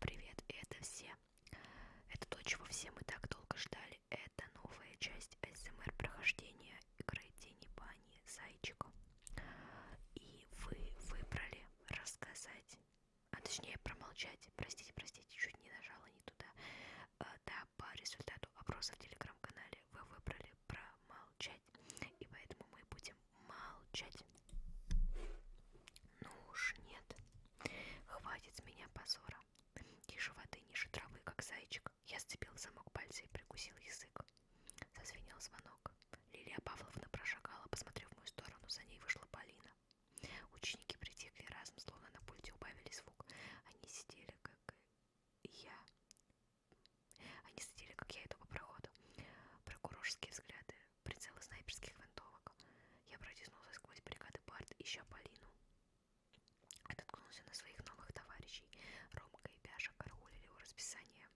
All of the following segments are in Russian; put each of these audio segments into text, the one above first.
Привет, это все. Это то, чего все мы так долго ждали. Это новая часть СМР прохождения игры Тени Бани Зайчику. И вы выбрали рассказать, а точнее промолчать. Простите, простите, чуть не нажала не туда. А, да, по результату опроса в телеграм-канале вы выбрали промолчать. И поэтому мы будем молчать. Ну уж нет. Хватит с меня позора. Тише воды, ниже травы, как зайчик. Я сцепил замок пальца и прикусил язык. Зазвенел звонок. Лилия Павловна прошагала, посмотрев в мою сторону. За ней вышла Полина. Ученики притихли разом, словно на пульте убавили звук. Они сидели, как я. Они сидели, как я иду по проходу. Прокурорские взгляды прицелы снайперских винтовок. Я протиснулся сквозь бригады Барт, ища Полину. Ототкнулся на своих новых товарищей. Ромка и Пяша караулили его расписание.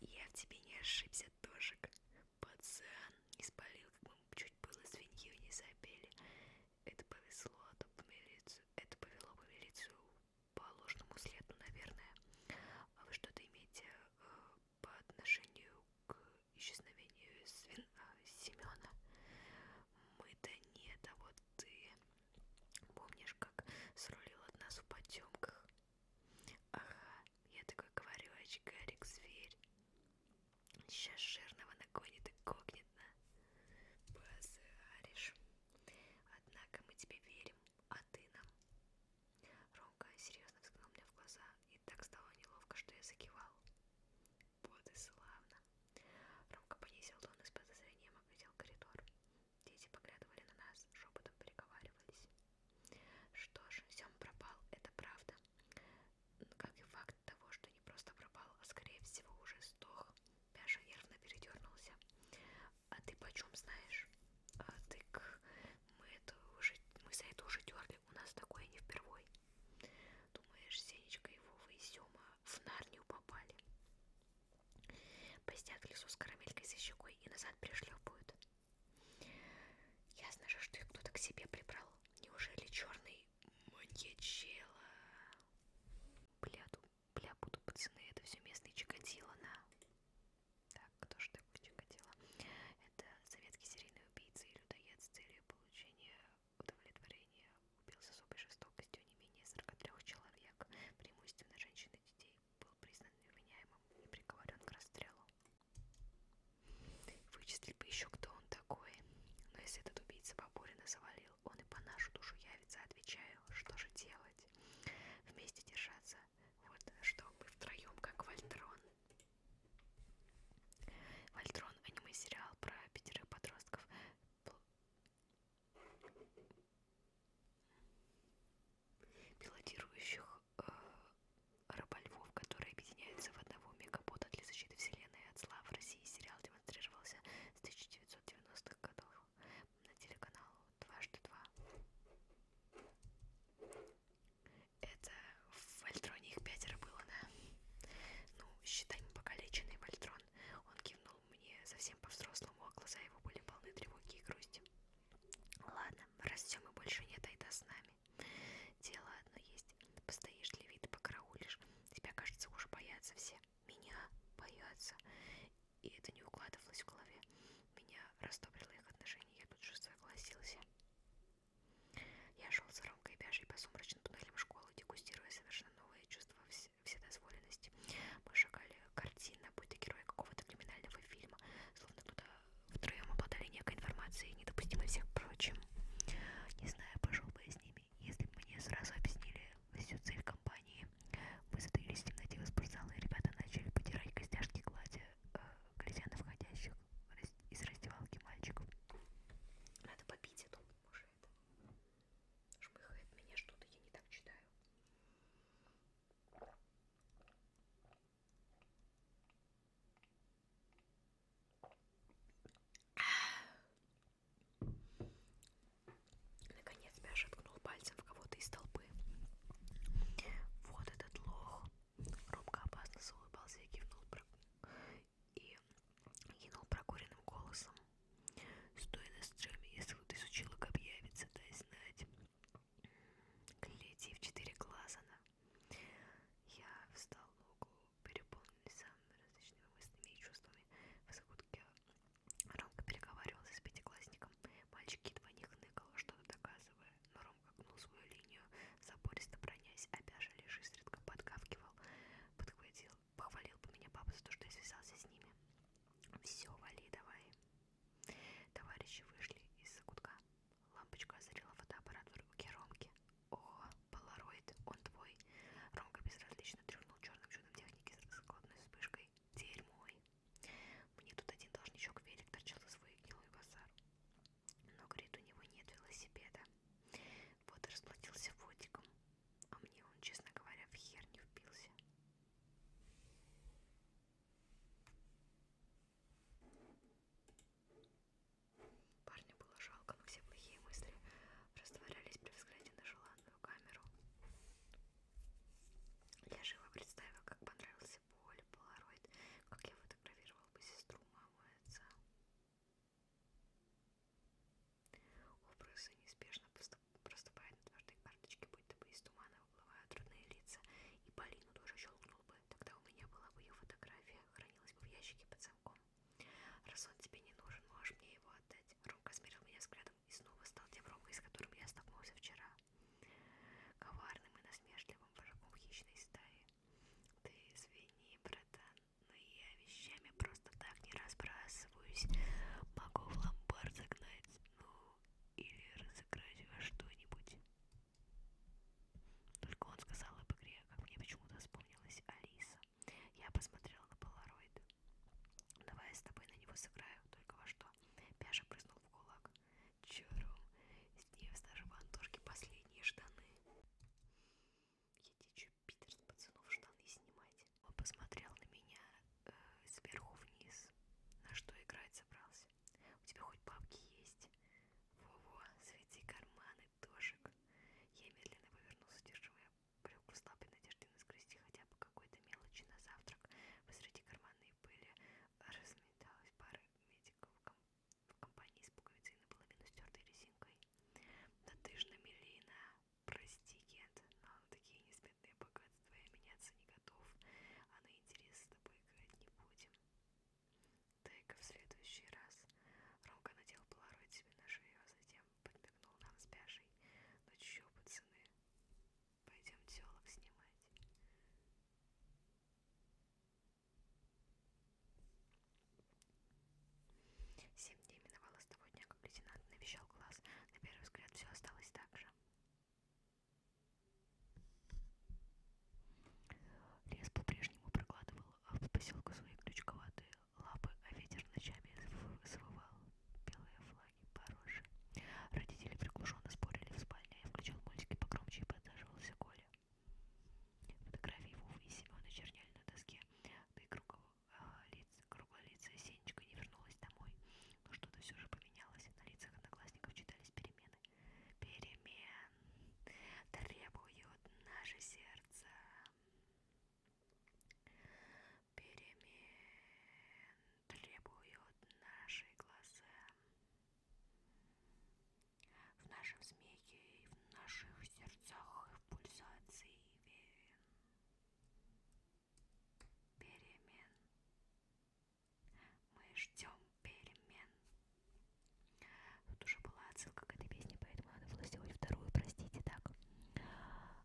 «Я в тебе не ошибся, Тошек. Пацан не спалил, как мы чуть было свинью не забили. Это повезло, а то в милицию. Это повело бы милицию по ложному следу, наверное. А вы что-то имеете э, по отношению к исчезновению Свин... А, Семена. Мы-то нет, а вот ты помнишь, как срулил от нас в потемках? Ага, я такой говорю, очкарик, зверь. Сейчас жирного нагонит и кокнет, на. Позаришь. Однако мы тебе верим, а ты нам. Ром наука серьезно взглянул мне в глаза, и так стало неловко, что я закивал. Вот и славно. Ромка понизил тон и с подозрением оглядел коридор. Дети поглядывали на нас, шепотом переговаривались. Что ж, Сем пропал, это правда. Как и факт того, что не просто пропал, а скорее всего уже сдох. Пяша нервно передернулся. А ты почем знаешь? А ты к... мы это уже... мы за это уже дернули. Славе у нас такое не впервой. Думаешь, Сенечка и Вова и Сема в Нарнию попали? Постят в лесу с карамелькой за щекой и назад пришлепают. Ясно же, что их кто-то к себе прибрал. Неужели черный маньячела? Бля, бля, буду пацаны, это все местные чикатило на... Так, кто ж ты? так чикатило. Это советский серийный убийца и людоед с целью получения удовлетворения убил с особой жестокостью не менее 43 человек, преимущественно женщин и детей, был признан невменяемым и приговорен к расстрелу. Вычислить бы еще кто он такой, но если этот убийца Бабурина завалил, он и по нашу душу явится, отвечаю, что же делать? Вместе держаться, вот что мы втроем, как Вольтрон. Вольтрон аниме-сериал про пятерых подростков. Пилотирующих э, рыбольвов, которые объединяются в одного мегабота для защиты вселенной от зла. В России сериал демонстрировался с 1990-х годов на телеканалу «Дважды два». Это в Вольтроне их пятеро было, да? Ну, считай, мы покалеченный Вольтрон. Он кивнул мне совсем по-взрослому, а глаза его были полны тревоги и грусти. Ладно, раз все мы больше нет, айда с нами. Дело одно есть. Постоишь для вида, покараулишь. Тебя, кажется, уже боятся все. Меня боятся. И это не укладывалось в голове. Меня растоприло их отношения, я тут же согласился. Я шел с Ромкой Бяжей по сумрачным туннелям школы, дегустируя совершенно новые чувства вседозволенности. Мы шагали картина, будто герои какого-то криминального фильма, словно кто-то втроем обладали некой информацией, недопустимой всех прочим. Не знаю, пошел бы я с ними, если бы мне сразу объяснили всю цель компании. Мы затаились в темноте возбуждала, и ребята начали потирать костяшки гладя э, глядя на входящих из раздевалки мальчиков. Надо попить, а то уже это шмыхает меня что-то, я не так читаю. Наконец Мяша ткнул пальцем в кого-то из толпы. Вот этот лох. Робко опасно заулыбался и кивнул про... и кинул прокуренным голосом. Стоя на стреме, если вот изучила, как явится, дай знать. Гляди в четыре глаза на. Я встал в углу, переполненный самыми различными мыслями и чувствами. Высокутке Ромка переговаривался с пятиклассником. Мальчик едва не хныкал, что-то доказывая, но ножом огнул свою линию, забористо бронясь, обяжа лишь изредка подкавкивал, подхватил, похвалил бы меня папа за то, что я связался с ними. Все, вали, давай. Товарищи вышли из-за кутка. Лампочка озарила фотоаппарат в руке Ромки. О, полароид, он твой. Ромка безразлично трюхнул черным чудом техники с раскладной вспышкой. Дерьмой. Мне тут один должничок велик торчал за свой гнилой базар. Но, говорит, у него нет велосипеда. Вот и расплатился водиком. А мне он, честно говоря, в хер не впился. Парню было жалко, но все плохие мысли растворялись при взгляде на желанную камеру. Я живо представила, как понравился Поле, Полароид, как я фотографировала бы сестру, маму и отца. Образы неспешно проступают на твердой карточке, будто бы из тумана выплывают трудные лица, и Полину тоже щелкнул бы. Тогда у меня была бы ее фотография, хранилась бы в ящике под замком. Раз он тебе не нужен, можешь мне его отдать. Ромка смирил меня взглядом и снова стал тем Ромкой, с которым я столкнулся вчера. Коварным и насмешливым вожаком хищной стаи. Ты извини, братан, но я вещами просто так не разбрасываюсь. Могу в ломбард загнать, ну, или разыграть во что-нибудь. Только он сказал об игре, а как мне почему-то вспомнилась Алиса. Я посмотрела на полароид. Давай я с тобой на него сыграю, только во что. Пяша прыснул в кулак. Чурум, с нее даже в Антошке последние штаны. Идите, Питер, с пацанов штаны снимайте. Он посмотрел на меня э, сверху вниз, на что играть собрался. У тебя хоть бабки есть? Во-во, свети карманы, дошек. Я медленно повернулся, держивая брюк в слабой надежде наскрести хотя бы какой-то мелочи на завтрак. Посреди карманной пыли разметалась пара медиков в компании с пуговицей наполовину стертой резинкой. Да ты ж намелина, прости, Кент, но на такие несметные богатства я меняться не готов, а на интерес с тобой играть не будем. Дай-ка в следующий раз. Ромка надел полароид себе на шею, а затем подмигнул нам с Бяжей. Ну чё, пацаны, пойдем телок снимать. Семь дней миновало с того дня, как лейтенант навещал класс. На первый взгляд все осталось так же. Лес по-прежнему прокладывал а в поселку свои крючковатые лапы, а ветер ночами завывал белые флаги пороже. Родители приглушенно спорили в спальне, я включал мультики погромче и подсаживался Коля. Фотографии Вовы и Семена черняли на доске, да и круглое лицо Сенечка не вернулась домой. Но ну, что-то все же поменялось, на лицах одноклассников читались перемены. Перемен требует наше сердце. Перемен требуют наши глаза в нашем смехе, и в наших сердцах, и в пульсации перемен. Мы ждем перемен. Тут уже была отсылка к этой песне, поэтому она была сделать вторую, простите, так.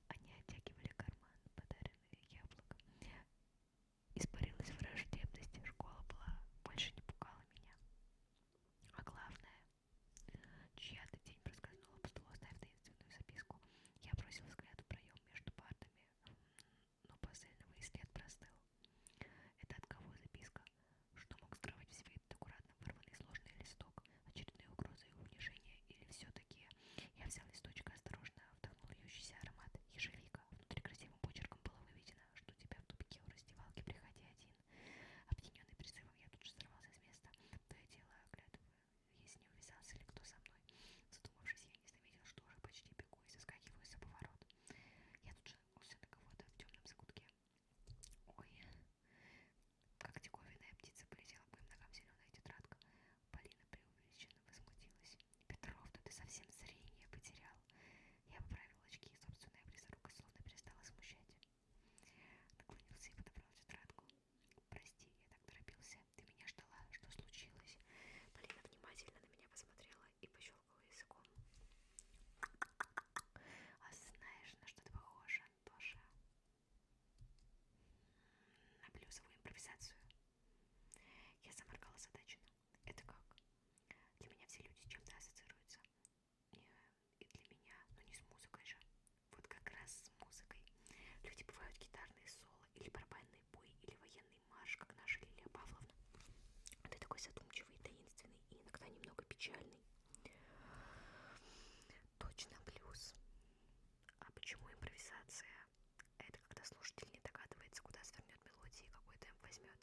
Они оттягивали карман, подаренные яблоком. Испарилась враждебность, школа была, больше не пугала меня. А главное, Чья-то тень проскользнула по столу, оставив таинственную записку. Я бросил взгляд в проем между партами, но посыльного и след простыл. Это от кого записка? Что мог скрывать в себе этот аккуратно вырванный сложный листок? Очередные угрозы и унижения? Или все-таки? Я взял листочек и осторожно вдохнул льющийся аромат ежевика. Внутри красивым почерком было выведено, что у тебя в тупике у раздевалки приходи один. Объединенный призывом, я тут же сорвался с места, то и дело оглядываю, если не увязался ли кто со мной. Задумавшись, я не заметил, что уже почти бегу и заскакиваю за поворот. Я тут же наткнулся на кого-то в темном закутке. Ой, как диковинная птица полетела к моим ногам зеленая тетрадка. Полина преувеличенно возмутилась. «Петров, да ты совсем зрение потерял!» Я поправил очки, и собственная близорука словно перестала смущать. Наклонился и подобрал тетрадку. «Прости, я так торопился. Ты меня ждала. Что случилось?» Полина внимательно на меня посмотрела и пощелкала языком. «А знаешь, на что ты похожа, Антоша?» «На плюсовую импровизацию». Я заморгала задаченно. «Это как?» «Для меня все люди с чем-то ассоциируются и для меня, но ну, не с музыкой же. Вот как раз с музыкой. Люди бывают гитарные соло, или барабанный бой, или военный марш, как наша Лилия Павловна. Ты такой задумчивый, таинственный и иногда немного печальный. Точно плюс. А почему импровизация? Это когда слушатель не догадывается, куда свернет мелодия и какой темп возьмет.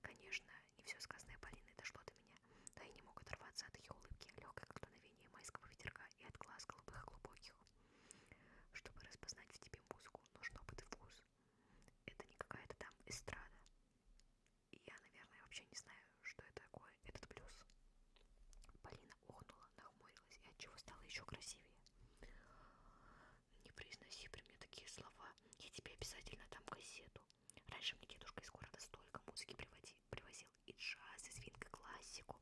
Конечно, не все сказанное Полиной дошло до меня, да и не мог оторваться от ее улыбки, легкой как дуновение майского ветерка и от глаз голубых и глубоких. Чтобы распознать в тебе музыку, нужен опыт и вкус. Это не какая-то там эстрада. И я, наверное, вообще не знаю, что это такое, этот плюс. Полина охнула, нахмурилась и отчего стала еще красивее. Не произноси при мне такие слова, я тебе обязательно дам газету. Раньше мне дедушка из города столько музыки привозил. И джаз, и свинка, классику.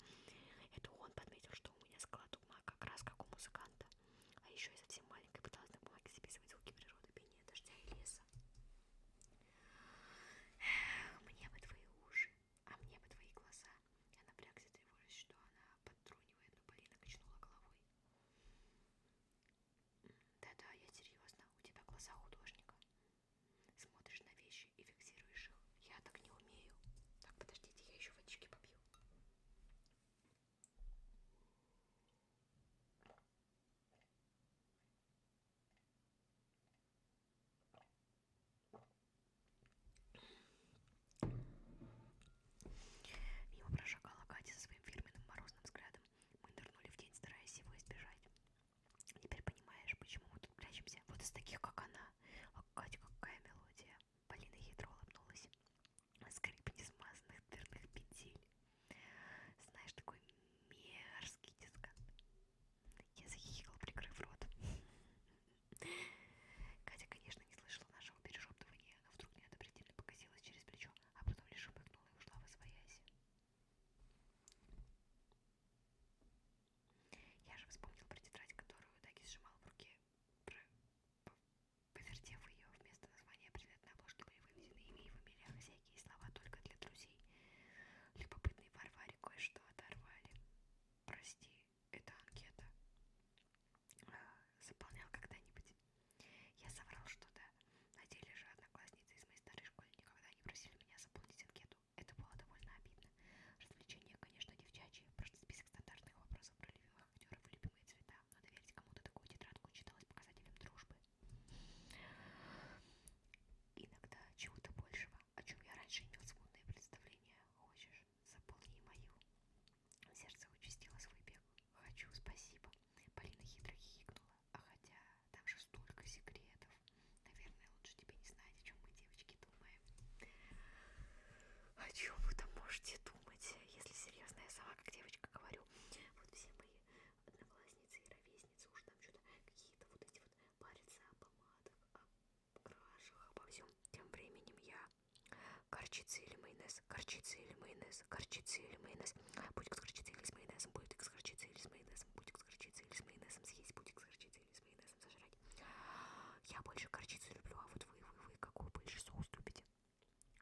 Это он подметил, что у меня склад ума как раз как у музыканта. А еще я совсем маленькая пыталась на бумаге записывать звуки природы, пение дождя и леса. Мне бы твои уши, а мне бы твои глаза. Я напрягся, тревожусь, что она подтрунивает, но Полина качнула головой. Да-да, я серьезно, у тебя глаза художника. Смотришь на вещи и фиксируешь их. Я так не умею. Так, подождите, я еще водички попью. Мимо прошагала Катя со своим фирменным морозным взглядом. Мы нырнули в день, стараясь его избежать. Теперь понимаешь, почему мы тут прячемся. Вот из таких, как она. А Катя, какая мелодия. Полина хитро улыбнулась. Скрип несмазанных дверных петель. Знаешь, такой мерзкий дискант. Я захихикал, прикрыв рот. Катя, конечно, не слышала нашего перешептывания, но вдруг неодобрительно покосилась через плечо, а потом лишь шепыкнула и ушла в освоясь. Я же вспомнил про тетрадь, которую Даги сжимал в руке. Повертев ее, вместо названия предметной обложки были выведены имя и фамилия хозяйки и слова только для друзей. Любопытный Варваре кое-что оторвали. Прости, это анкета. А, заполнял когда-нибудь. Я соврал, что да. На деле же одноклассницы из моей старой школы никогда не просили меня заполнить анкету. Это было довольно обидно. Развлечения, конечно, девчачьи. Просто список стандартных вопросов про любимых актеров и любимые цвета. Но доверить кому-то такую тетрадку читалось показателем дружбы. Иногда чего-то большего, о чем я раньше имел смутные представления. Хочешь, заполни мою. Сердце участило свой бег. Хочу, спасибо. Полина хитро хихикнула. А хотя там же столько секретов. Наверное, лучше тебе не знать, о чем мы, девочки, думаем. О чем вы там можете думать? Если серьезно, я сама как девочка говорю. Вот все мои одноклассницы и ровесницы уже там что-то какие-то вот эти вот парятся о помадах, о крашах, обо всем. Тем временем я Горчица или майонез, горчица или майонез, горчица или майонез, будет с горчицей или с майонезом, будет с горчицей или с майонезом, будет с горчицей или с майонезом съесть, пудик с горчицей или с майонезом сожрать. Я больше горчицу люблю, а вот вы, вы, вы, какой больше соус любите?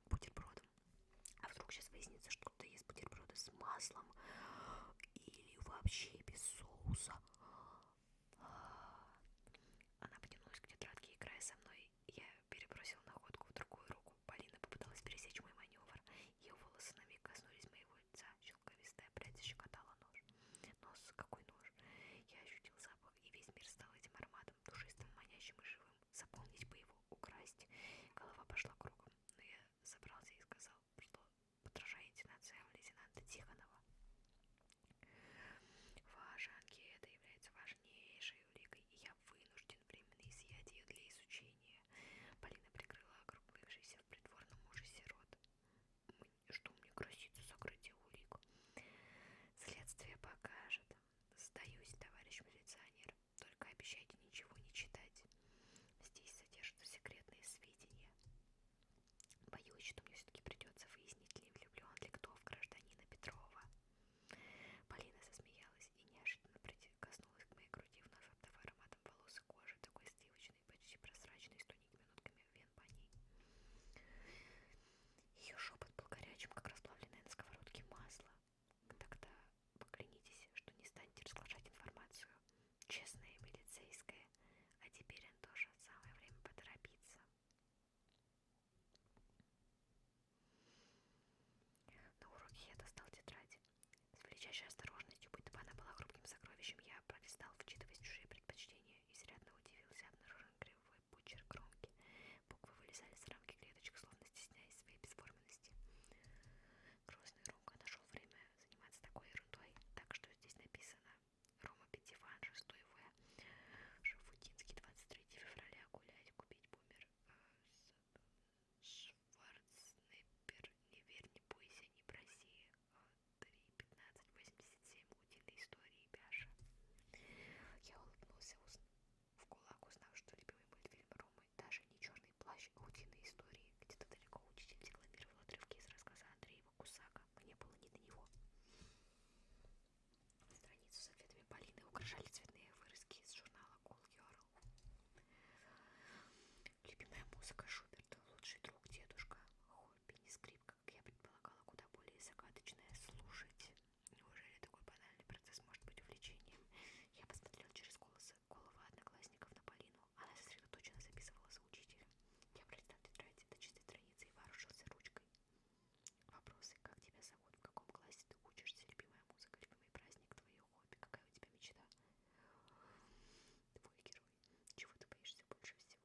Бутербродом. А вдруг сейчас выяснится, что кто-то ест бутерброды с маслом или вообще без соуса. Она потянулась к тетрадке, играя со мной. Я перебросила находку в другую руку. Полина попыталась пересечь мой маневр. Ее волосы на миг коснулись моего лица шелковистая прядь щекотала нож. Нос, какой нож! Я ощутил запах, и весь мир стал этим ароматом, душистым, манящим и живым. Заполнить бы его, украсть. Голова пошла кругом, но я собрался и сказал, что подражая интонациям лейтенанта Тихонова. Ваша анкета является важнейшей уликой, и я вынужден временно изъять ее для изучения. Полина прикрыла округлившийся известен придворному мужу сирот, что мне грозится сокрытие улик. Следствие покажет. Сдаюсь, товарищ милиционер. Только обещайте ничего не читать. Здесь содержатся секретные сведения. Боюсь, что мне все-таки придется выяснить, ли влюблен ли кто в гражданина Петрова. Полина засмеялась и неожиданно прикоснулась к моей груди, вновь обдав аромат ароматом волос и кожи, такой сливочный, почти прозрачный, с тоненькими нотками вен по ней. Ее шепот был горячим, как расплавленное на сковородке масло. Тогда поклянитесь, что не станете разглашать информацию. Честная и милицейская. А теперь, Антоша, самое время поторопиться. На уроке я достал тетрадь. С величайшей осторожностью, будто бы она была хрупким сокровищем, я пролистал, вчитываясь в чужие предпочтения, и изрядно удивился, обнаружен кривой пучер кромки. Буквы вылезали с рамки клеточек, словно стесняясь своей бесформенности. Грозный Ромка нашел время заниматься такой ерундой, так что здесь написано Рома Петиван, 6 В. Шафутинский, 23 февраля, гулять, купить бумер. Э, с Шварценеггер «Не верь, не бойся, не проси» 3.15.87 а, «Утиные истории» Бяша. Я улыбнулся в кулак, узнав, что любимый мультфильм Ромы даже не черный плащ, а утиные истории. Где-то далеко учитель декламировал отрывки из рассказа Андреева Кусака. Мне было не до него. Страницу с ответами Полины украшали цветные вырезки из журнала Cool Girl. Любимая музыка Шуберта, лучший друг дедушка, хобби, не скрипка, как я предполагала, куда более загадочное слушать. Неужели такой банальный процесс может быть увлечением? Я посмотрела через голосы головы одноклассников на Полину. Она сосредоточенно записывала за учителем. Я пролистал тетрадь до чистой страницы и вооружился ручкой. Вопросы. Как тебя зовут? В каком классе ты учишься? Любимая музыка, любимый праздник, твое хобби. Какая у тебя мечта? Твой герой пожалуй. Чего ты боишься больше всего?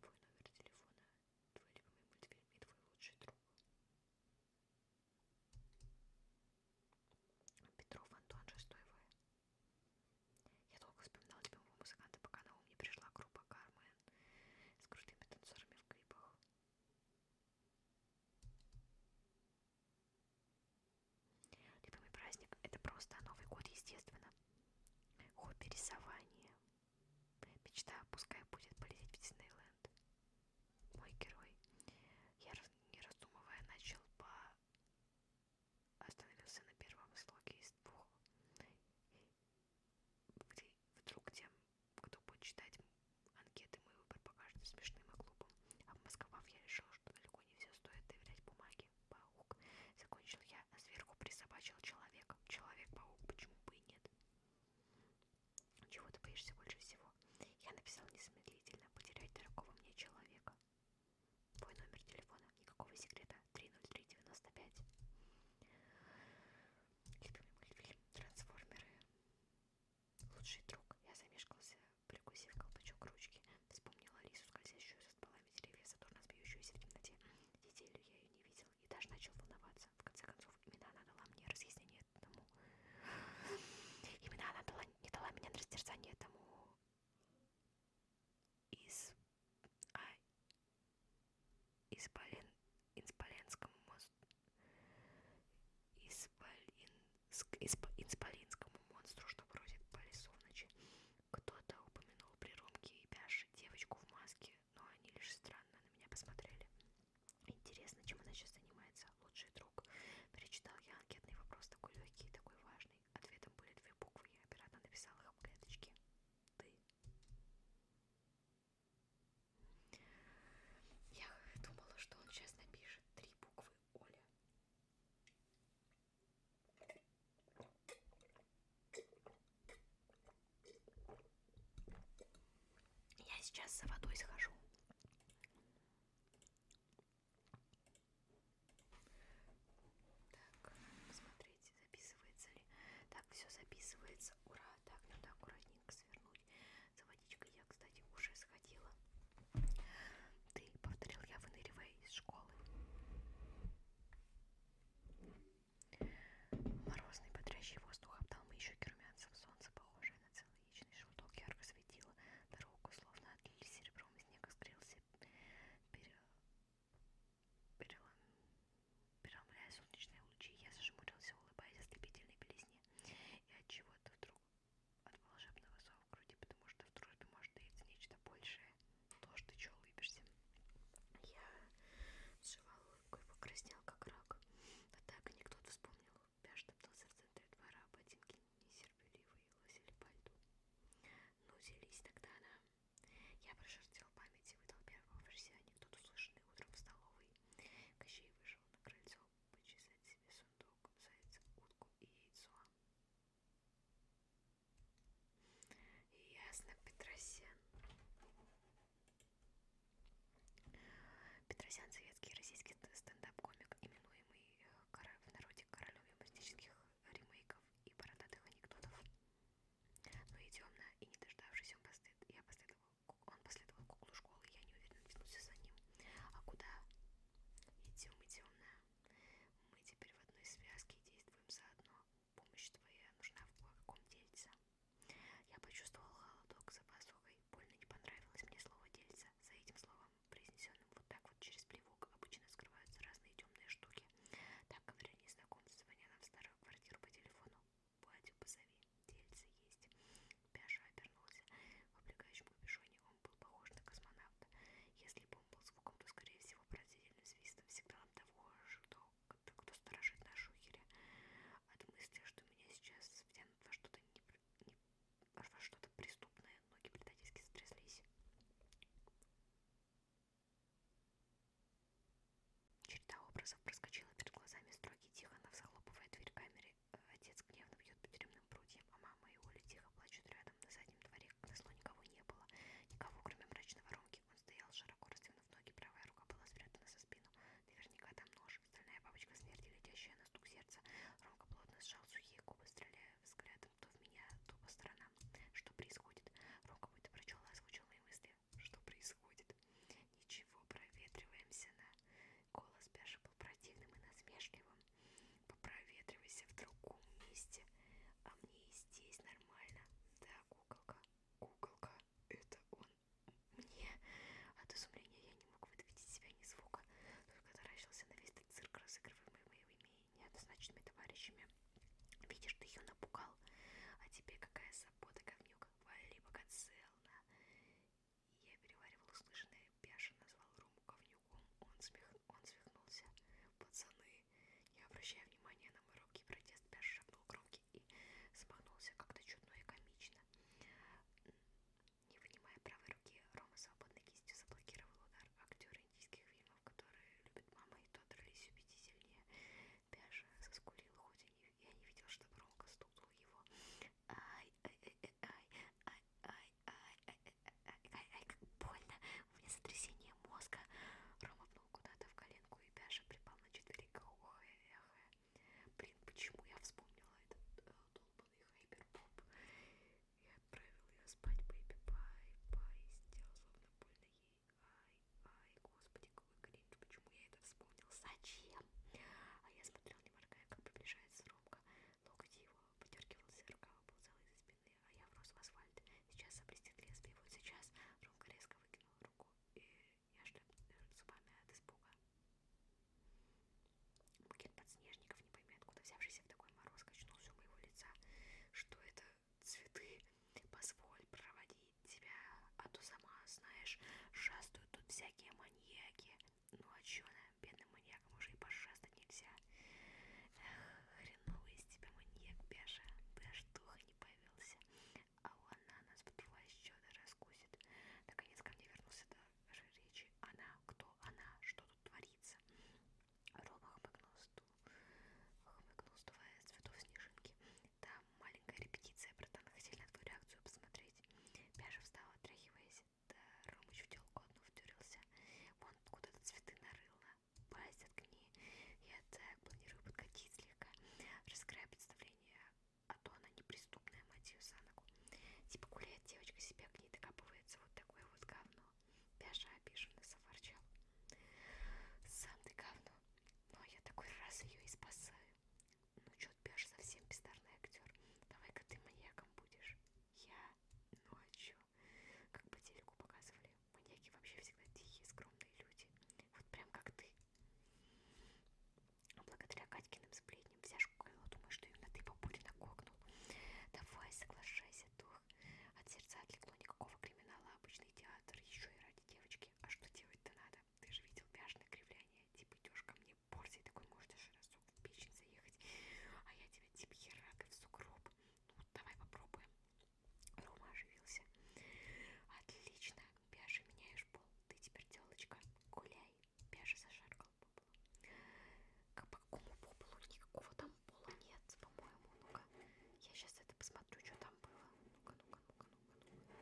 Твой номер телефона, твой любимый мультфильм и твой лучший друг. Петров Антон, 6 В. Я долго вспоминала любимого музыканта, пока на ум не пришла группа Кармен с крутыми танцорами в клипах. Любимый праздник это просто Новый год, естественно. Хобби рисование. Мечта, пускай будет полететь в Диснейленд. Мой герой. Я, не раздумывая, начал по... Остановился на первом слоге из двух. Вдруг тем, кто будет читать анкеты, мой выбор покажется смешным и глупым. Обмозговав, я решил, что далеко не все стоит доверять бумаге ты паук. Закончил я, а сверху присобачил человека. Человек-паук, почему бы и нет? Чего ты боишься больше всего? Я написал незамедлительно потерять дорогого мне человека. Твой номер телефона, никакого секрета, 30395. Любимый мультфильм «Трансформеры». Лучший друг. Я замешкался Прикусив колпачок ручки, вспомнила Алису, скользящую со стволами деревьев, задорно сбьющуюся в темноте. Неделю я ее не видел и даже начал волноваться. В конце концов, именно она дала мне разъяснение этому. Именно она дала, не дала меня на растерзание этому из... А... Исполин... Инсполинскому мосту. Исполин... Исп... Инсполинскому монстру, что бродит по лесу в ночи. Кто-то упомянул при Ромке и Бяше девочку в маске, но они лишь странно на меня посмотрели. Интересно, чем она сейчас занимается, лучший друг. Перечитал я анкетный вопрос, такой легкий и такой важный. Ответом были две буквы, я оперативно написал их в клеточке. Ты. Я думала, что он сейчас напишет три буквы Оля. Я сейчас за водой схожу. Так, смотрите, записывается ли. Так, все записывается. Ура! Так, надо аккуратненько свернуть. За водичкой я, кстати, уже сходила ты, повторил я, выныривая из школы. Морозный бодрящий воздух обдал мои щеки румянцем, солнце, похожее на целый яичный желток, ярко светило дорогу, словно отлили серебром, и снег искрился, пере... перелом... переломляя солнечные лучи. Я зажмурился, улыбаясь ослепительной белизне, и от чего-то вдруг от волшебного ссора в груди, потому что в дружбе может таиться нечто большее. То, что ты что улыбишься. Я сживала улыбку и покраснел, как рак. А так анекдот вспомнил. Пяж топтался в центре двора, ботинки несерпеливые лосили по льду. Ну, делись тогда, да. Я прошертил память и выдал первого версии анекдот, услышанный утром в столовой. Кощей вышел на крыльцо почесать себе сундук, зайца, утку и яйцо. Ясно, Петросян. Петросян советский российский стендап-комик, именуемый э, в народе королем юмористических ремейков и бородатых анекдотов. Но и темно, и не дождавшись, он, послед... я последовал... он последовал куклу школы, я не уверенно тянулся за ним. А куда? Идем, идем на... Мы теперь в одной связке действуем заодно. Помощь твоя нужна в кое-каком дельце. Я почувствовал холодок за пазухой. Больно не понравилось мне слово дельца. За этим словом, произнесенным вот так вот через плевок, обычно скрываются разные темные штуки. Так говорю незнакомцы, звоня нам в старую квартиру по телефону. Батю позови, дельце есть. Пяша обернулся. В облегающем капюшоне он был похож на космонавта. Если бы знакомым был звуком, то, скорее всего, поразительным свистом сигналом того, что, кто сторожит наши ухеря. От мысли, что меня сейчас втянут во что-то не, не, во что-то преступное, ноги предательски затряслись. Череда образов проскочила перед глазами строгий Тихонов, а захлопывая дверь камеры. Э, отец гневно бьет по тюремным прутьям, а мама его летит тихо плачут рядом. На заднем дворе назло никого не было. Никого, кроме мрачной воронки. Он стоял, широко растянув ноги, правая рука была спрятана за спину. Наверняка там нож. Стальная бабочка смерти, летящая на стук сердца. Ромка плотно сжал сухие губы, стреляя взглядом то в меня, то по сторонам. Что происходит? Ромка будто прочел и озвучил мои мысли. Что происходит? Ничего, проветриваемся на... Голос Бяши был противным и насмешливым. Попроветривайся в другом месте. А мне и здесь нормально. Да, куколка. Куколка. Это он. Мне. От изумления я не мог выдавить из себя ни звука. Только таращился на весь этот цирк, разыгрываемый моими неоднозначными товарищами. Видишь, ты ее напугал. А тебе какая забота, говнюк. Вали пока целна. Я переваривал услышанное, бешено назвал Рому говнюк крюком. Он, смех... он свихнулся. Пацаны, не обращая внимания на мой робкий протест, Пяш шагнул громки и смахнулся как-то чудно и комично. Не вынимая правой руки, Рома свободной кистью заблокировал удар. Актеры индийских фильмов, которые любят мама и то, дрались убить и сильнее. Пяша заскулил, хоть и не... я не видел, чтобы Ромка стукнул его. Ай, ай, ай, ай, ай, ай, ай, ай, Ай, как больно. У меня сотрясение мозга. Рома пнул куда-то в коленку и Бяша припал на четверика. Ой, эхо. Блин, почему я вспомнила этот э, долбанный хайперпоп? Я отправила ее спать, бэйби, бай-бай. Сделал словно больно ей. Ай, ай, господи, какой кринж. Почему я это вспомнил? Зачем? А я смотрел, не моргая, как приближается Ромка. Локоть его подергивался, рука выползала из-за спины длинные, а я врос в асфальт. Сейчас заблестит лезвие, вот сейчас Ромка резко выкинул руку, и я шлеп зубами от испуга. Букет подснежников, не пойми откуда взявшийся в такой мороз, качнулся у моего лица. Что это? Цветы? Позволь проводить тебя, а то сама, знаешь, шастают тут всякие маньяки. Ну а чё, бедным маньякам уже и пошастать нельзя. Эх, хреновый из тебя маньяк бежа, бы аж духа не появился. А она нас по твоей счета раскусит. Наконец ко мне вернулся даже речи. Она, кто она, что тут творится? Рома хмыкнул стул, хмыкнул, сдувая цветов снежинки. Там маленькая репетиция, братан, хотели на твою реакцию посмотреть. Бяжа встал, отряхиваясь. Да, Ромыч в телку одну втюрился. Вон куда-то цветы нарыл на пасть от книги. Я так планирую подкатить слегка, раскрывая представление о а том, она неприступная мотив Санаку. Типа гуляет девочка себя к ней докапывается вот такое вот говно. Пяша обиженно заворчал. Сам ты говно, но ну, а я такой раз ее и спасаю. Ну чё, Пяша совсем бездарный актер. Давай-ка ты маньяком будешь. Я? Ну а чё? еще. Как по телеку показывали, маньяки вообще всегда тихие, скромные люди. Вот прям как ты. А благодаря Катькиным сплетням вся школа думает, что именно ты Бабурина кокнул. Давай, соглашайся, дух. От сердца отвлекло никакого криминала, обычный театр, еще и ради девочки. А что делать-то надо? Ты же видел пяжное кривляние. Типа идешь ко мне порцией, такой можешь даже разок в печень заехать. А я тебя типа херак и в сугроб. Ну, давай попробуем. Рома оживился. Отлично, Пяша, меняешь пол. Ты теперь телочка. Гуляй. Пяша зашаркал по полу. К какому по полу? Никакого там пола нет, по-моему. Ну-ка, я сейчас это посмотрю, что там было. Ну-ка, ну-ка, ну-ка, ну-ка, ну-ка.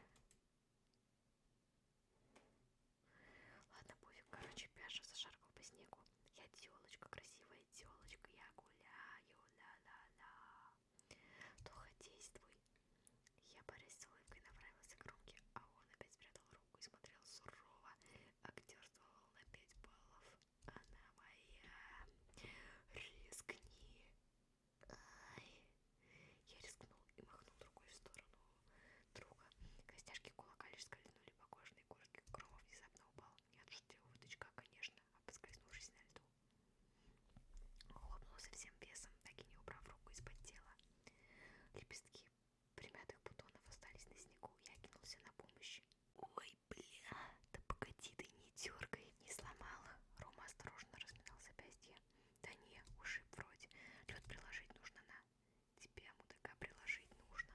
Ладно, пофиг. Короче, Пяша зашаркал по снегу. Я телочка красивая красивая телочка, я гуляю, ла-ла-ла. То действуй. Я борясь с улыбкой направился к Ромке, а он опять спрятал руку и смотрел сурово. Актерствовал на пять баллов. Она моя. Рискни. Ай. Я рискнул и махнул рукой в сторону друга. Костяшки кулака лишь скользнули по кожаной куртке. Громов внезапно упал. Я отшутил выточка, конечно, обскользнувшись на льду. Хлопнулся всем весом, так и не убрав руку из-под тела. Лепестки примятых бутонов остались на снегу. Я кинулся на помощь. Ой, бля, да погоди ты, не дергай, не сломала. Рома осторожно разминал запястье. Да не, ушиб вроде. Лед приложить нужно на. Тебя, мудака, приложить нужно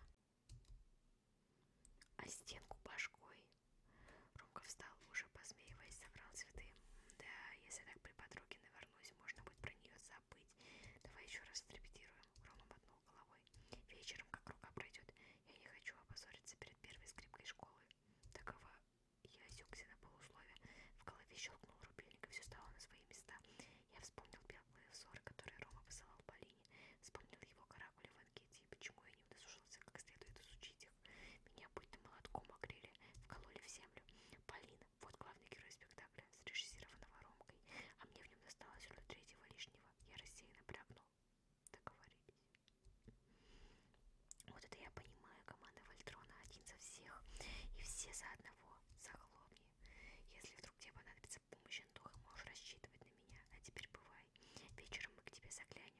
а стенку башкой. Ромка встал, уже посмеиваясь, собрал цветы. Да, если так при подруге навернусь, можно будет про нее забыть. Давай еще раз отрепетируем. Рома мотнул головой. Вечером, как рука пройдет, я не хочу опозориться перед первой скрипкой школы. Такова я осекся на полусловие. В голове щелкнул рубильник, и все стало на свои места. Я вспомнил белые взоры, которые Рома посылал Полине. Вспомнил его каракули в энергетии. Типа, Почему я не удосужился как следует изучить их? Меня будто молотком огрели, вкололи в землю. Полина, вот главный герой спектакля, срежиссированного Ромкой, а мне в нем досталось роль третьего лишнего. Я рассеянно брякнул. Договорились. Вот это я понимаю, команда Вольтрона один за всех, и все за одного, за хлопья. Если вдруг тебе понадобится помощь, Антоха, можешь рассчитывать на меня. А теперь бывай. Вечером мы к тебе заглянем.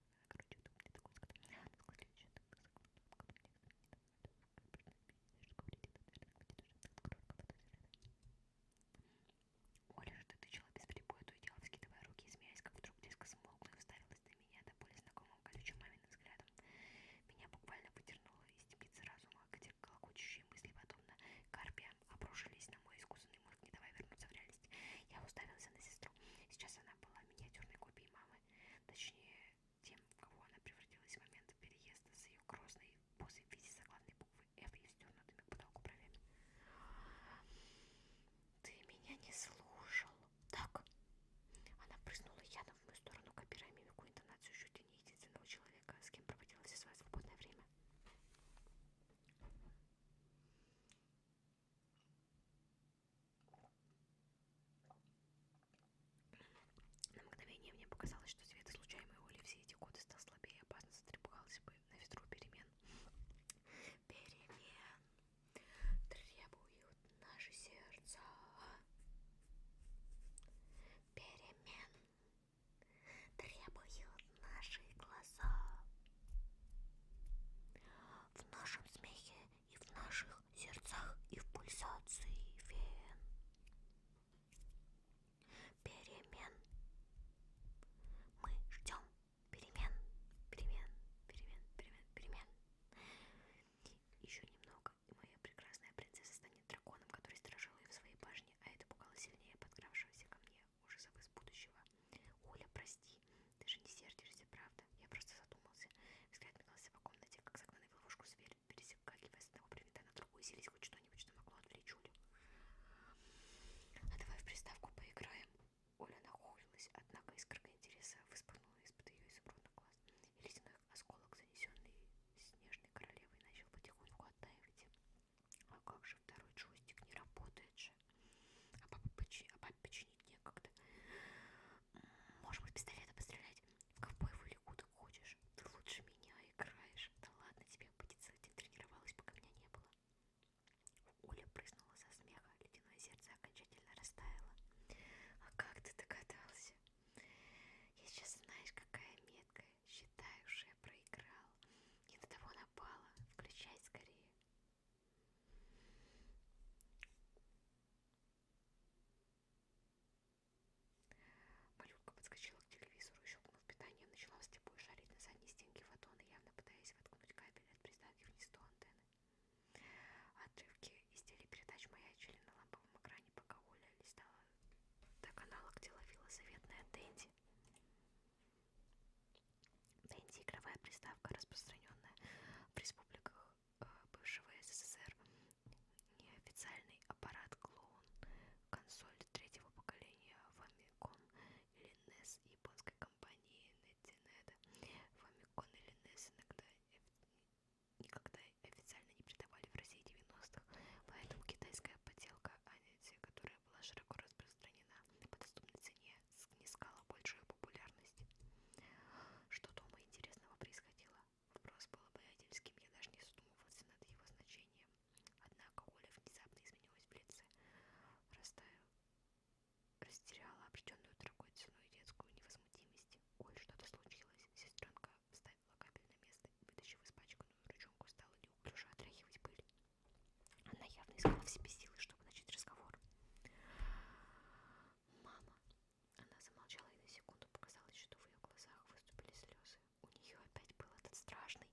Короче, это мне такой сказал. Оля же дотычила без перебоя, то и дело вскидывая руки, смеясь, как вдруг резко смолкла и уставилась на меня до более знакомым колючим маминым взглядом. Меня буквально потернуло из темницы разума, где колокочущие мысли, подобно карпиям, обрушились на мой искусственный безумный морг, не давая вернуться в реальность. Я уставился на сестру. Сейчас она была миниатюрной копией мамы. Точнее, тем, в кого она превратилась в момент переезда с ее грозной позой в виде заглавной буквы F и стернутыми к потолку бровями. «Ты меня не слушал!» «Так!» Она прыснула ядом в мою сторону, копируя мимику интонацию чуть ли не единственного человека, с кем проводила все свое свободное время. На мгновение мне показалось, что свет, излучаемый Олей все эти годы, стал слабее, опасность затрепыхалась бы на ветру перемен. Перемен требуют наши сердца. Перемен требуют наши глаза в нашем смехе и в наших сердцах и в пульсации вен. Перемен. Мы ждем перемен, перемен, перемен, перемен, перемен. Еще немного, и моя прекрасная принцесса станет драконом, который стражил ее в своей башне, а это пугало сильнее подкравшегося ко мне ужасов из будущего. Оля, прости, ты же не сердишься, правда? Я просто задумался. Взгляд метался по комнате, как загнанный в ловушку зверь, пересекагивая с одного предмета на другой, селись хоть что-нибудь, что могло отвлечь Олю. А давай в приставку поиграем. Оля нахохлилась, однако искорка интереса выспанула из-под ее изумрудных глаз, и ледяной осколок, занесенный снежной королевой, начал потихоньку оттаивать. А как же второй джойстик не работает же? А папа, почи... а папе починить некогда. Может быть, пистолета пострелять? В ковбоев или куда хочешь? Ты лучше меня играешь. Да ладно тебе, по децельте тренировалась, пока меня не было. Оля прыснула со смеха, ледяное сердце окончательно растаяло. А как ты догадался? Я сейчас знаешь, какая метка. Считаю, что я проиграл. И на того напала. Включай скорее. Малютка подскочила к телевизору и, щелкнув питание, начала с типой шарить на задней стенке фотона, явно пытаясь воткнуть кабель от приставки вниз до антенны. Отрывки из телепередач маячили на ламповом экране, пока Оля листала до канала, где ловила заветная Дэнди. Нэнди – игровая приставка, распространенная в республиках э, бывшего СССР. Неофициальный аппарат клоун, консоль третьего поколения Famicom или NES японской компании Netineta. Famicom или NES иногда никогда официально не придавали в России 90-х, поэтому китайская поделка, а не те, которая была широко распространена по доступной цене, снискала большую популярность. Что дома интересного происходило? Вопрос был обаятельским, я даже не задумывался над его значением. Однако Оля внезапно изменилась в лице, растаяла, растеряла определенную дорогой цену и детскую невозмутимость. Оль, что-то случилось. Сестренка вставила капель на место, вытащив испачканную ручонку, стала неуклюже отряхивать пыль. Она явно искала в себе силы, чтобы начать разговор. «Мама!» Она замолчала, и на секунду показалось, что в ее глазах выступили слезы. У нее опять был этот страшный...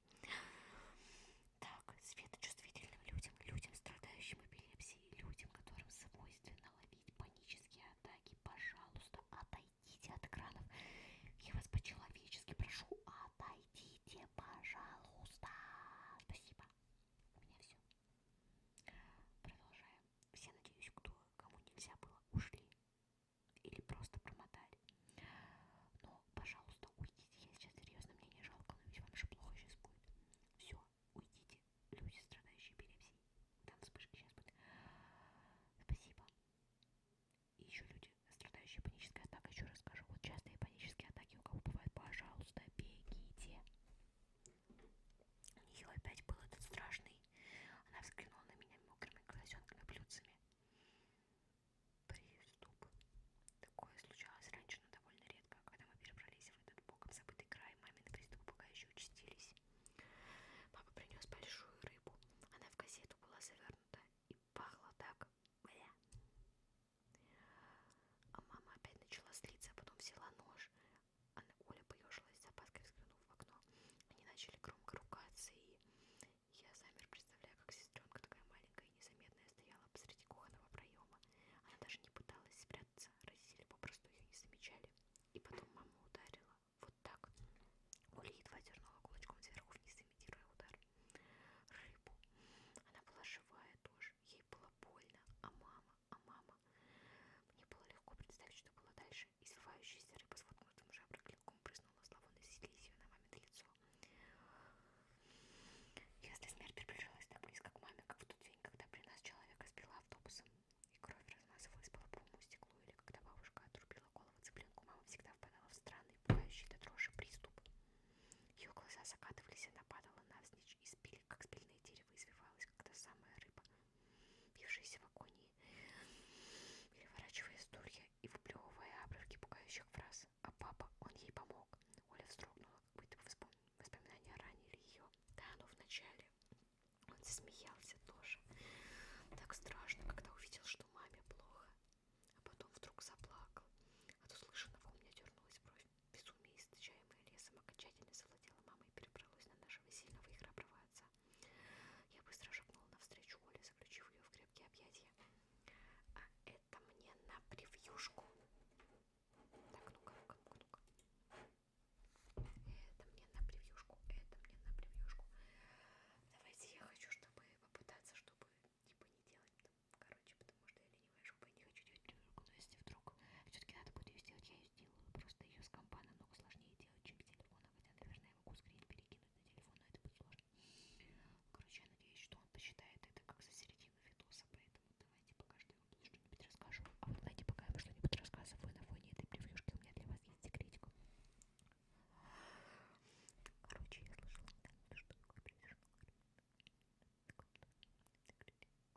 Так, светочувствительным людям, людям, страдающим эпилепсией, людям, которым свойственно ловить панические атаки, пожалуйста, отойдите от экранов. Я вас по-человечески прошу, отойдите, пожалуйста. Спасибо. У меня все. Продолжаем. Все, надеюсь, кто, кому нельзя было, ушли или просто промотали. Но, пожалуйста, уйдите. Я сейчас серьезно, мне не жалко, но ведь вам же плохо сейчас будет. Все, уйдите. Люди, страдающие эпилепсией. Там вспышки сейчас будет. Спасибо. И еще люди, страдающие панической атакой, еще расскажу. Вот частые панические атаки у кого бывают. Пожалуйста, бегите. У нее опять был этот страшный. Она взглянула на меня мокрыми глазенками блюдцами. Приступ. Такое случалось раньше, но довольно редко. Когда мы перебрались в этот боком забытый край, мамины приступы пока еще участились. Папа принес большую рыбу. Она в газету была завернута и пахла так. Бля. А мама опять начала слиться, а потом взяла нож. Она, Оля поежилась с опаской, взглянув в окно. Они начали громко ругаться, и я замер, представляя, как сестренка такая маленькая и незаметная стояла посреди кухонного проема. Она даже не пыталась спрятаться, родители попросту ее не замечали. И потом мама ударила. Вот так. Оля едва дернула кулачком сверху вниз, имитируя удар. Рыбу. Она была живая тоже, ей было больно, а мама... А мама. Мне было легко представить, что было дальше. Извивающаяся рыба с воткнутым жаброклеком прыснула зловонной слизью на мамино лицо. Если смерть приближалась так близко к маме, как в тот день, когда при нас человека сбила автобусом, и кровь размазывалась по лобовому стеклу, или когда бабушка отрубила голову цыпленку, мама всегда впадала в странный, пугающий до дрожи приступ. Ее глаза закатывались, она падала навзничь и спили, как спильные деревья нетерпеливо извивалась, когда самая рыба, бившаяся в агонии, переворачивая стулья и выплевывая обрывки пугающих фраз. А папа, он ей помог. Оля вздрогнула, как будто воспом... воспоминания ранили ее. Да, но вначале он засмеялся тоже. Так страшно, когда увидел, что маме плохо. А потом вдруг заплакал. От услышанного у меня дернулась бровь безумие, источаемое лесом, окончательно завладела мамой и перебралось на нашего сильного и храброго отца. Я быстро шагнула навстречу Оле, заключив ее в крепкие объятия. А это мне на превьюшку. Так, ну-ка, ну-ка, ну-ка, ну-ка. Это мне на превьюшку, это мне на превьюшку. Давайте я хочу, чтобы попытаться, чтобы типа не делать там, короче, потому потому что я ленивая жопа и не хочу делать прививку, но если вдруг все-таки надо будет ее сделать, я ее сделаю. Просто ее с компа намного сложнее делать, чем с телефона, хотя, наверное, я могу скрин перекинуть на телефон, но это будет сложно. Короче, я надеюсь, что он посчитает это как за середину видоса, поэтому давайте пока что я вам что-нибудь расскажу. А вот, знаете, пока я вам что-нибудь рассказываю на фоне этой превьюшки, у меня для вас есть секретик. Короче, я слышала, да, что такое превьюшка. Секретик.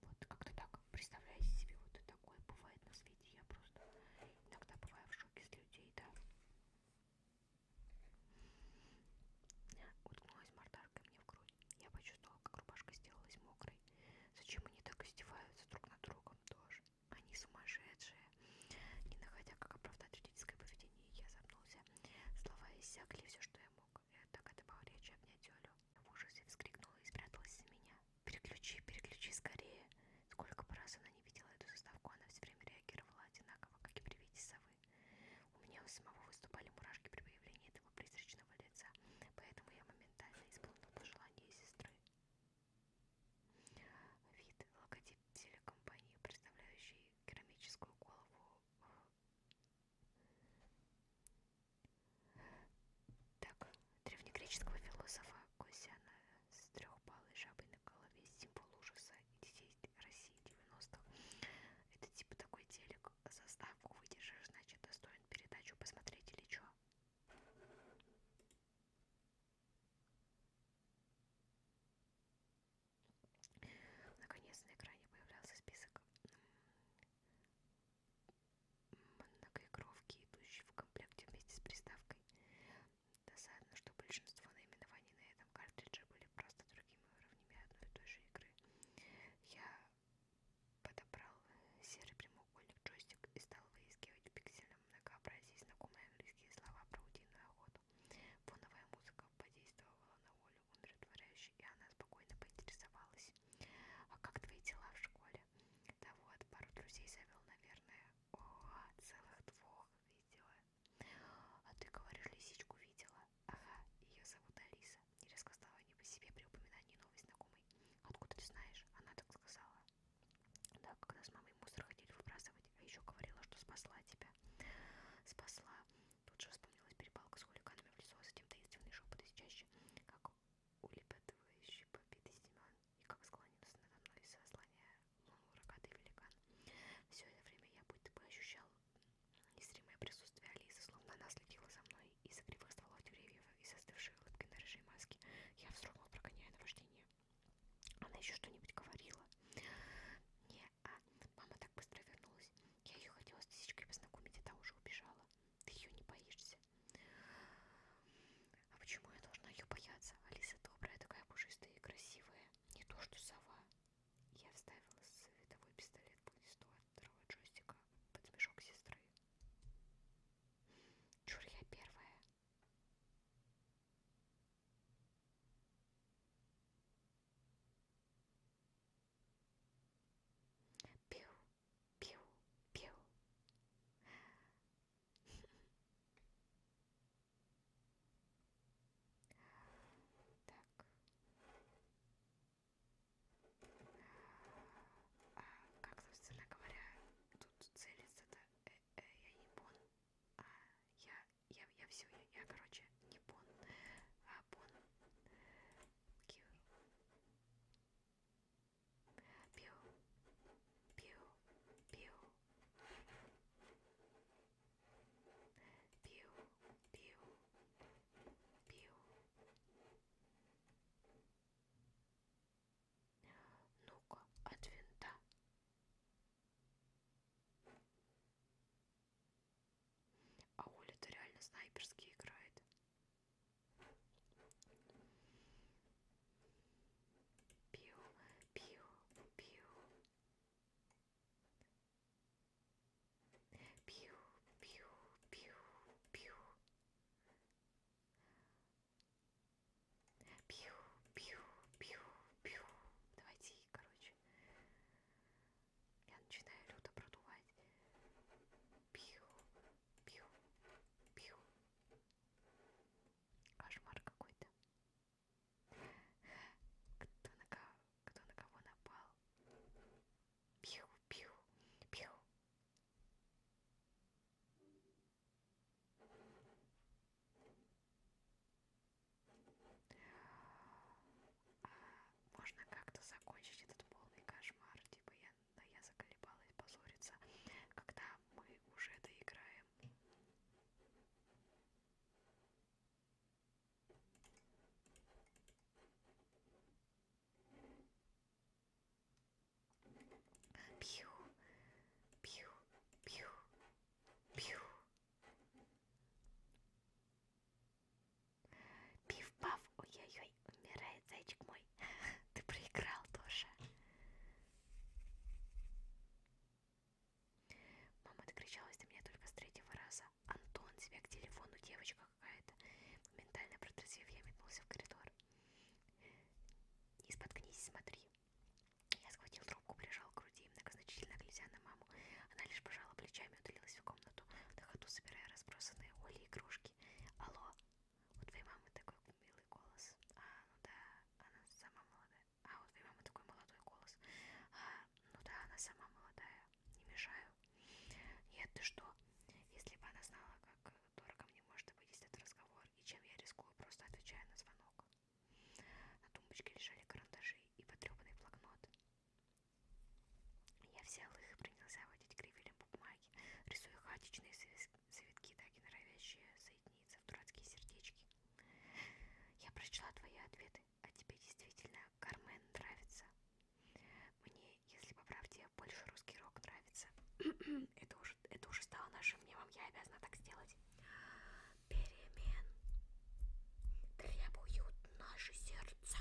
Вот как-то так. Представляете себе, вот такое бывает на свете. Я просто иногда бываю в шоке с людей, да. Уткнулась мордаркой мне в грудь. Я почувствовала, как рубашка сделалась мокрой. Зачем они так издеваются друг над другом тоже? Они сумасшедшие. Не находя, как оправдать родительское поведение, я запнулся. Слова иссякли все, что я мог. Я так это был речь обнять Олю. В ужасе вскрикнула и спряталась за меня. «Переключи, переключи скорее!» Сколько бы раз она не видела эту заставку, она все время реагировала одинаково, как и при виде совы. У меня у самого выступали мурашки при появлении этого призрачного лица, поэтому я моментально исполнила пожелание сестры. Вид – логотип телекомпании, представляющий керамическую голову э, так, древнегреческого философа Косяна с трехпалой жабой на голове, символ ужаса и детей России 90-х. Это типа такой телек, заставку выдержишь, значит достоин передачу посмотреть или что. Наконец на экране появлялся список многоигровки, идущие в комплекте вместе с приставкой. Досадно, что большинство наименований на этом картридже были просто другими уровнями одной и той же игры. Я подобрал э, серый прямоугольник джойстик и стал выискивать пикселем многообразие знакомые английские слова про утиную охоту. Фоновая музыка подействовала на волю умиротворяюще, и она спокойно поинтересовалась. «А как твои дела в школе?» Да вот, пару друзей завел, наверное. О, целых двух видела. А ты, говоришь, лисичку видела? Ага, ее зовут Алиса. Резко стала не по себе при упоминании новой знакомой. Откуда ты знаешь? Она так сказала. Да, когда с мамой мусор ходили выбрасывать, а еще говорила, что спасла тебя. Спасла. Тут же вспомнилась перепалка с хулиганами в лесу, а затем таинственные шепоты чаще, как улепетывающий побитый Семен, и как склонился надо мной, сослоняя луну рогатый великан. Все это время я будто бы ощущал незримое присутствие Алисы, словно она следила за мной из-за кривых стволов деревьев и застывшей улыбки на рыжей маске. Я вздрогнул, прогоняя наваждение. Она еще что-нибудь говорила. Не, а мама так быстро вернулась. Я ее хотела с тысячкой познакомить, а та уже убежала. Ты ее не боишься. А почему я должна ее бояться? Алиса добрая, такая пушистая и красивая. Не то, что сова. Я вставила световой пистолет по листу от второго джойстика под смешок сестры. Чур я первая. Пиу, Пиу, пиу. Так. А, как, собственно говоря, тут целится это э, э, я не бон. А, я, я, я все, я, я, короче, не бон, а бон. Кью. Пью, пью, пью. Пью, пью, пью. Ну-ка, от винта. А Оля-то реально снайперски играет. Пью, пью, пью. Пью, пью, пью, пью. Пью, пью, пью, пью. Давайте, короче. Я начинаю люто продувать. Пью, пью, пью. Кошмар какой-то. Кто на кого, кто на кого напал? Пью, пью, пью. А можно как-то закончить этот полный кошмар, типа я но я заколебалась позориться, когда мы уже доиграем. Пью, пью, пью, пью. Пиф-паф, ой-ой-ой, Ой, умирает зайчик мой. Ты проиграл тоже. Мама докричалась до меня только с третьего раза. Антон, тебя к телефону, девочка какая-то. Моментально протрезвев, я метнулся в коридор. Не споткнись, смотри. Я схватил трубку, прижал к груди, многозначительно глядя на маму. Она лишь пожала плечами и удалилась в комнату, на ходу собирая разбросанные Оли игрушки. Алло, у твоей мамы такой милый голос. А, ну да, она сама молодая. А, у твоей мамы такой молодой голос. А, ну да, она сама молодая. Не мешаю. Нет, ты что? Если бы она знала, как дорого мне может обойтись этот разговор, и чем я рискую, просто отвечая на звонок. На тумбочке лежали карандаши и потрепанный блокнот. Я взял их и принялся водить кривелем по бумаге, рисуя хаотичные завитки, так и норовящие соединиться в дурацкие сердечки. Я прочла твои ответы, а тебе действительно Кармен нравится. Мне, если по правде, больше русский рок нравится. это, уже, это уже стало нашим дневом, я обязана так сделать. Перемен требуют наши сердца.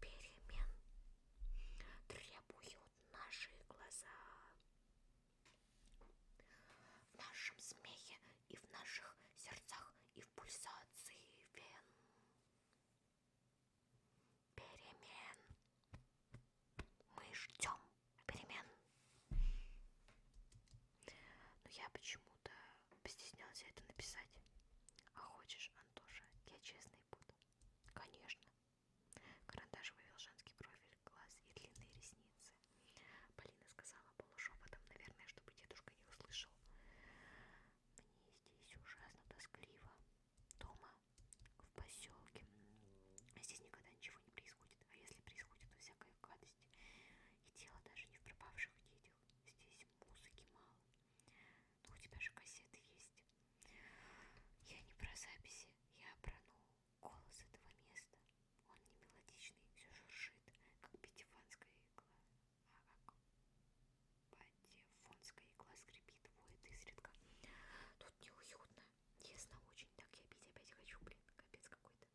Перемен требуют наши глаза. В нашем смехе и в наших сердцах и в пульсации вен. Перемен. Мы ждем перемен. Но я почему-то постеснялась это написать. А хочешь, Антоша, я честный буду. Конечно. Карандаш вывел женский профиль, глаз и длинные ресницы. Полина сказала полушепотом, наверное, чтобы дедушка не услышал. Мне здесь ужасно тоскливо. Дома, в поселке. Здесь никогда ничего не происходит. А если происходит, то всякая гадость. И дело даже не в пропавших детях. Здесь музыки мало, ну, у тебя же кассеты есть. Я не про записи, я про, ну, голос этого места. Он не мелодичный, все журшит, как пятифанская игла. А, а как патефонская игла скрипит, воет изредка. Тут неуютно. Тесно очень. Так я пить опять хочу, блин. Капец какой-то.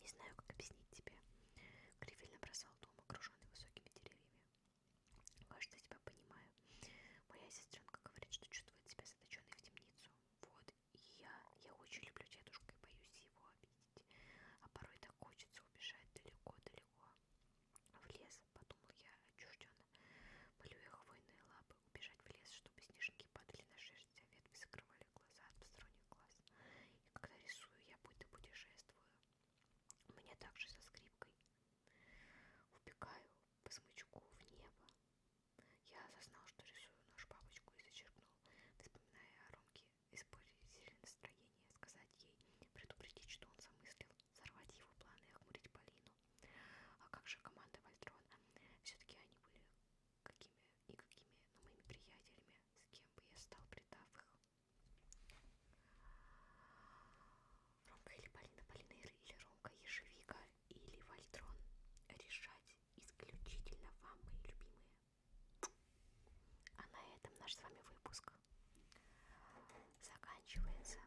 Не знаю, как объяснить тебе. Грифель набросал дом, окруженный высокими деревьями. Кажется, я тебя понимаю. Моя сестренка говорит, что чувствует себя заточенной в темницу. Вот, и я, я очень люблю дедушку и боюсь его обидеть. А порой так хочется убежать далеко-далеко. В лес, подумал я отчужденно. Полюя хвойные лапы, убежать в лес, чтобы снежинки падали на шерсть, а ветви закрывали глаза от посторонних глаз. И когда рисую, я будто путешествую. Мне также со скрипкой. Убегаю по смычку в небо. Я осознал, что рисую нож бабочку и зачеркнул, вспоминая о Ромке испортить настроение, сказать ей, предупредить, что он замыслил сорвать его планы и охмурить Полину. А как же команда Вальтрона? Все-таки они были какими и какими, но ну, моими приятелями, с кем бы я стал, предав их. Ромка или Полина, Полина или Ромка, Ежевика или Вальтрон. Решать исключительно вам, мои любимые. А на этом наш с вами выпуск заканчивается.